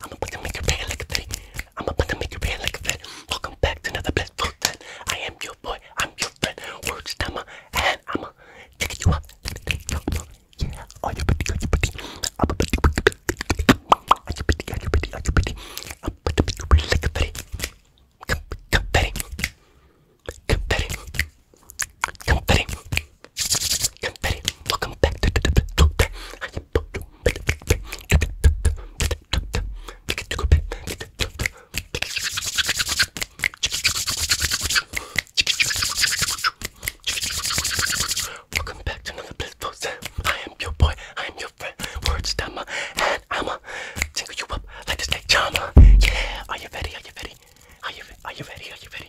I'm about to make you pay like a thing. I'm about to make you pay like a thing. Welcome back to another best food then. I am your boy. I'm your friend. Words time and I'ma take you up. Take you up. Yeah. Are you pretty? Are you pretty? I'm about to make you pretty. Are you pretty? Are you pretty? Are you pretty? I'm about to make you pay like a thing. Come, come, Betty. Come, Betty. Come, Betty. Come, Betty. Welcome back to the best food then. I am Welcome back to another blissful sim. I am your boy, I am your friend, Words word stammer, and I'ma tingle you up like a snake charmer. Yeah, are you ready? Are you ready? Are you, are you ready? Are you ready?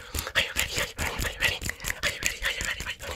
Are you ready? Are you ready? Are you ready? Are you ready? Are you ready? Are you ready?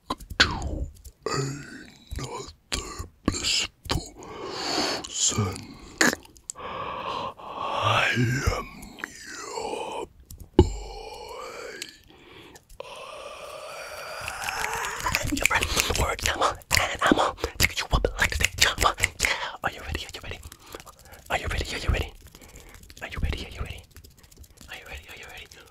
to another blissful sun. I am your boy. I'm your friend, word yama, on. Take you up like the jump. Yeah. Are you ready? Are you ready? Are you ready? Are you ready? Are you ready? Are you ready?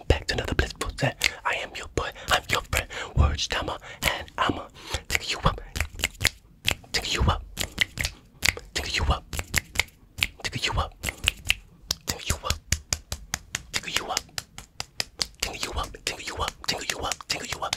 welcome back to another blissful set. I am your boy, I'm your friend, word stammer, and I'ma take you up, take you up, take you up, take you up, take you up, take you up, take you up, take you up, take you up, take you up,